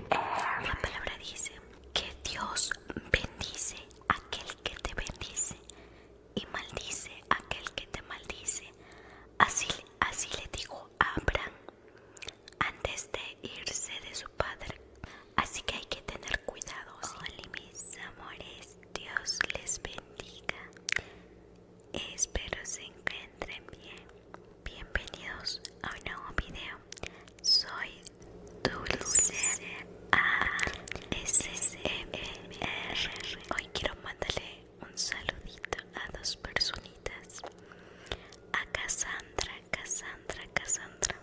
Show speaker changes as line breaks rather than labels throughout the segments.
La palabra dice que Dios bendice aquel que te bendice y maldice aquel que te maldice. Así, le digo a Abraham antes de irse de su padre. Así que hay que tener Cuidados mis amores, Dios les bendiga. Espero se encuentren bien. Bienvenidos a un nuevo video. Soy Dulce R. Hoy quiero mandarle un saludito a dos personitas. A Cassandra, Cassandra, Cassandra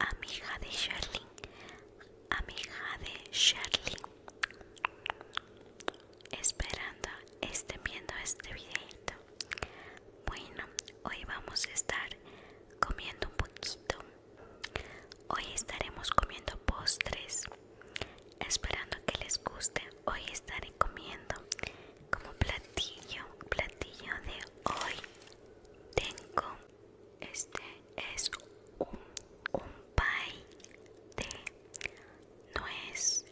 amiga de Sherlyn, amiga de Sherlyn, esperando estén viendo este videito. Bueno, hoy vamos a estar comiendo un poquito. Hoy estaremos comiendo postres, esperando que les guste. Hoy estaré comiendo como platillo, platillo de hoy. Tengo este es un, pie de es...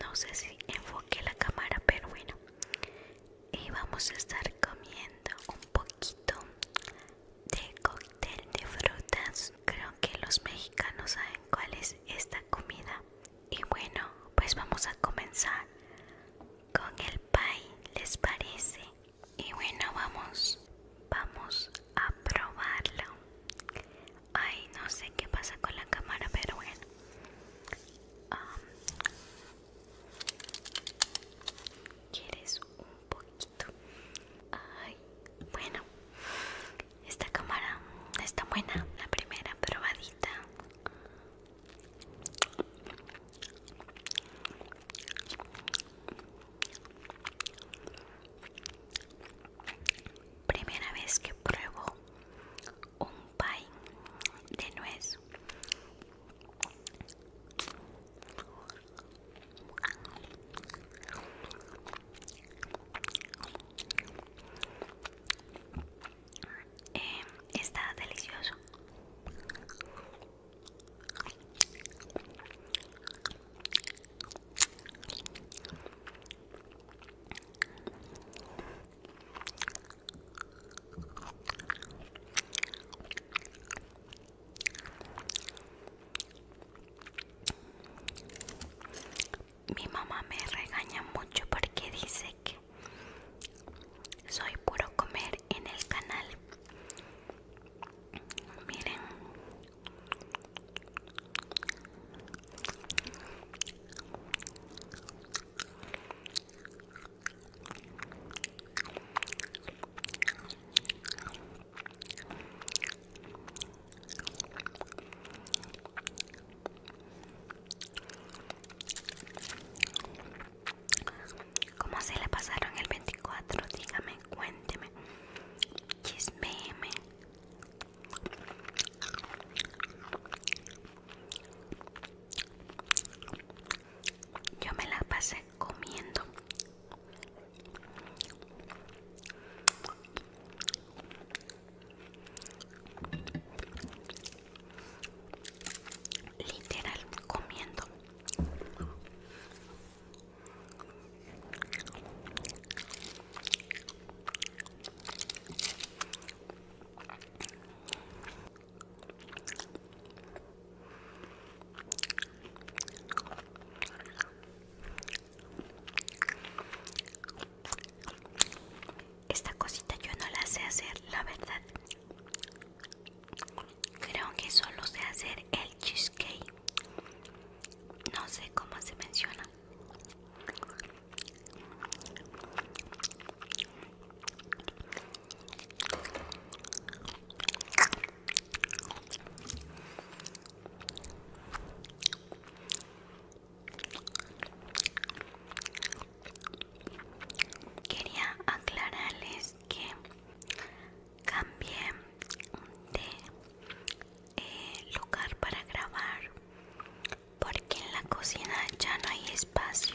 No sé si enfoque la cámara, pero bueno. Y vamos a estar comiendo un poquito de cóctel de frutas. Creo que los mexicanos saben cuál es esta comida. Y bueno, pues vamos a comenzar con el pie, ¿les parece? y bueno vamos vamos a probarla ay no sé qué pasa con la cámara pero bueno quieres un poquito ay bueno esta cámara está buena la primera probadita Primera vez que pruebo un pie de nuez. Em, está delicioso. Mi mamá me regaña mucho porque dice que soy puro comer en el canal miren como se le pasaron el 24? Dígame, cuénteme. chisme, Yo me la pasé comiendo literal comiendo esta cosita yo no la sé hacer, la verdad. Creo que solo sé hacer el cheesecake. No sé cómo se menciona. Quería aclararles que cambié de eh, lugar para grabar porque en la cocina ya no hay espacio.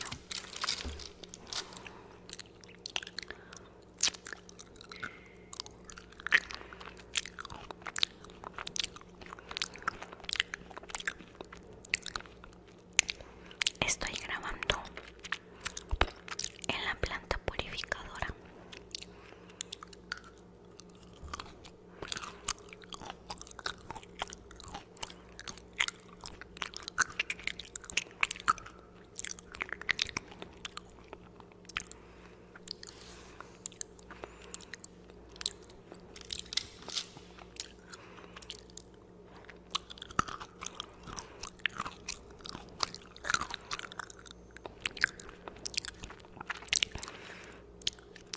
Estoy grabando en la planta purificadora.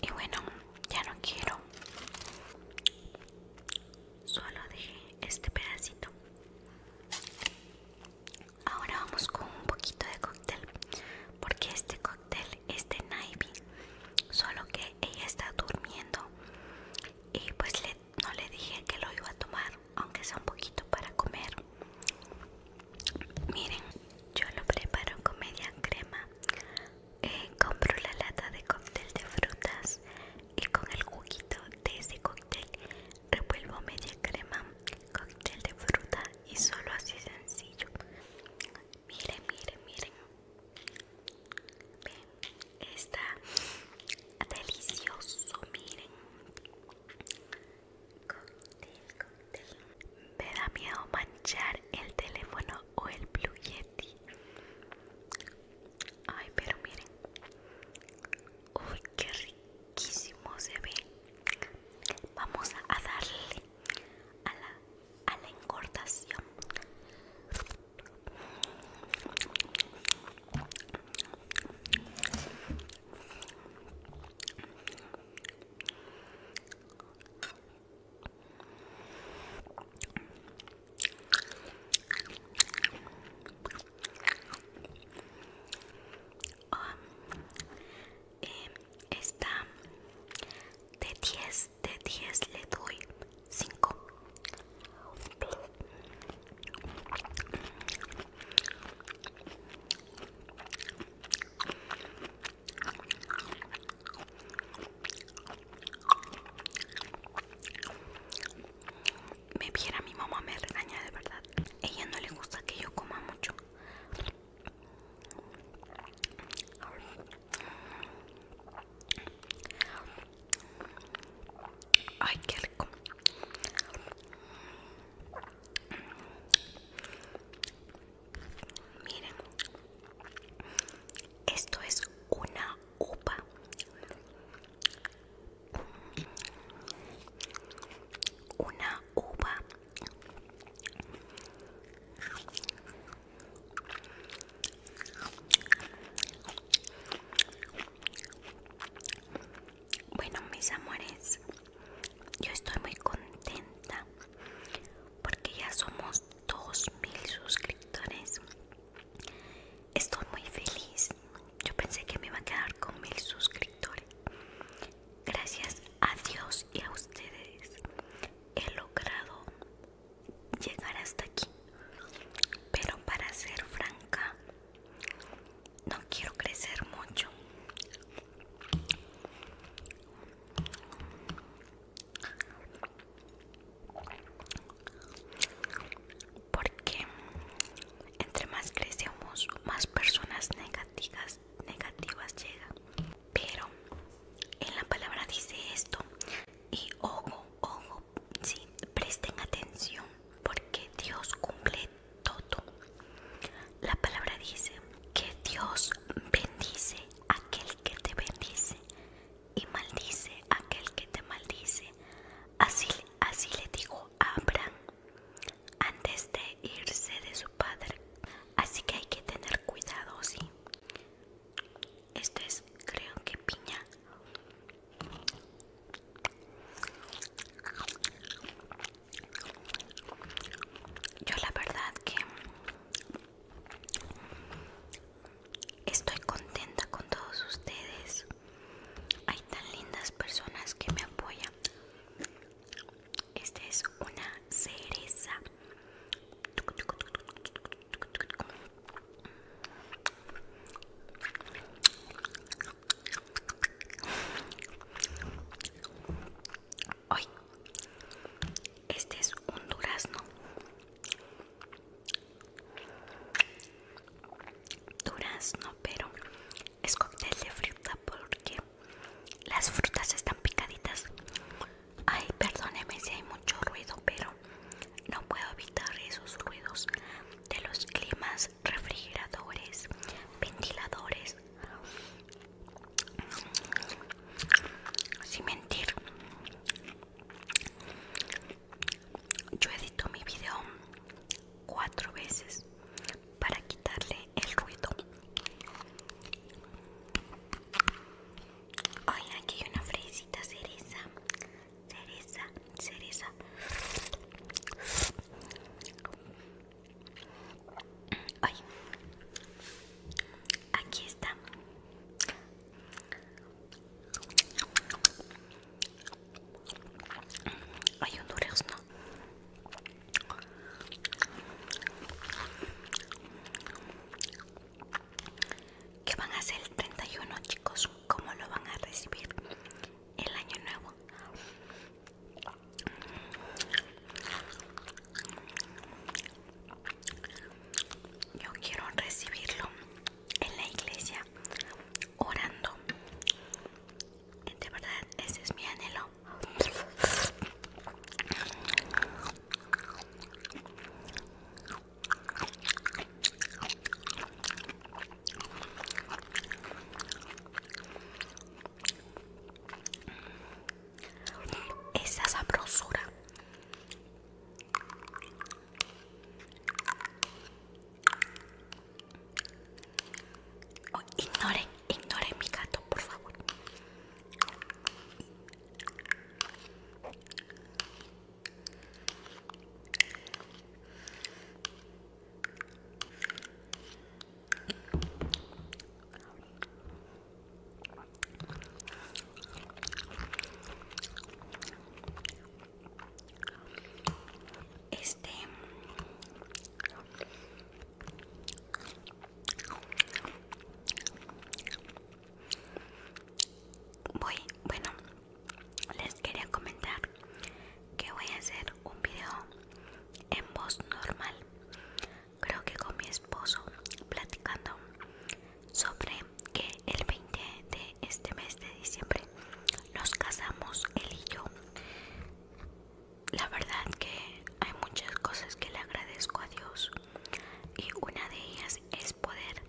Y bueno, ya no quiero. Solo dejé este pedacito. Ahora vamos con un poquito de cóctel, porque este cóctel este es solo que ella está durmiendo y pues no le dije que lo iba a tomar, aunque sea un poquito para comer. Miren, yo lo preparo con media crema. Eh, compro la lata de cóctel de frutas y con el juguito de ese cóctel revuelvo media crema, cóctel de fruta y solo así sencillo. Miren, miren, miren. Ven, está delicioso, miren. Cóctel, cóctel. Me da miedo manchar el teléfono o el Blue Yeti. Ay, pero miren. Uy, qué riquísimo se ve. Vamos a darle a la, a la eh, esta de 10 de 10 le doy 5 me viera mi mamá me regaña de verdad ella no le gusta que yo coma mucho Ay, qué rico. Miren, esto es una uva Una uva bueno, mis amores, yo estoy muy contenta porque ya somos 2.000 suscriptores. Estoy muy feliz. Yo pensé que me iba a quedar con 1.000 suscriptores gracias a Dios y a ustedes he logrado llegar hasta aquí. Pero para ser franca, no quiero crecer mucho. Porque entre más crecemos, más personas negativas negativas llega Pero en la palabra dice esto. Y ojo, ojo, si presten atención porque Dios cumple todo. La palabra dice que Dios bendice aquel que te bendice y maldice aquel que te maldice. Así, así le digo, a Abraham antes de irse de su padre. Así que hay que tener cuidado, sí. este es, creo que piña. Yo la verdad que estoy contenta con todos ustedes. Hay tan lindas personas que me apoyan este es una cereza. Hoy, este es un durazno. Durazno, pero es cóctel de fruta porque las frutas están picaditas. Ay, perdóneme si hay mucho ruido, pero no puedo evitar esos ruidos de los climas, refrigeradores, ventiladores. Sin mentir, yo edito mi video cuatro veces para quitarle el ruido. Ay, aquí hay una fresita cereza, cereza, cereza. Ay, aquí está. Hay un ¿Qué van a hacer el 31, chicos? ¿Cómo lo van a recibir el año nuevo? Yo quiero recibirlo en la iglesia orando. De verdad, ese es mi anhelo. Esa sabrosura Oh, ignore, ignore mi gato, por favor. Este voy, bueno, les quería comentar que voy a hacer un video en voz normal, creo que con mi esposo platicando sobre que el 20 de este mes de diciembre nos casamos él y yo. La verdad que hay muchas cosas que le agradezco a Dios y una de ellas es poder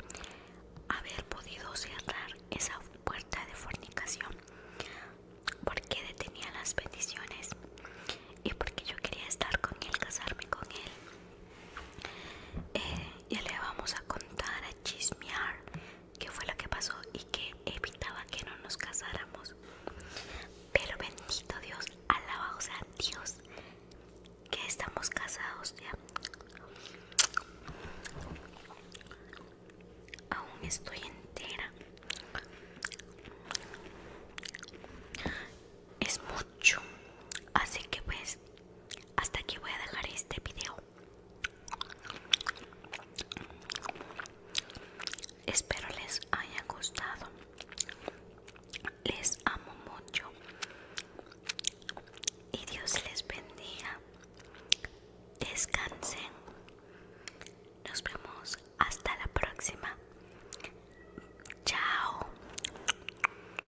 haber podido cerrar esa puerta de fornicación porque detenía las bendiciones y porque yo quería estar con él, casarme con él. Eh, ya le vamos a contar chismear qué fue lo que pasó y que evitaba que no nos casáramos. Pero bendito Dios, alabado sea Dios que estamos casados ya. Aún estoy entera. Es mucho. Así que pues hasta aquí voy a dejar este video. Espero les haya gustado. Les amo mucho. Y Dios les bendiga. Descansen. Nos vemos hasta la próxima. Chao.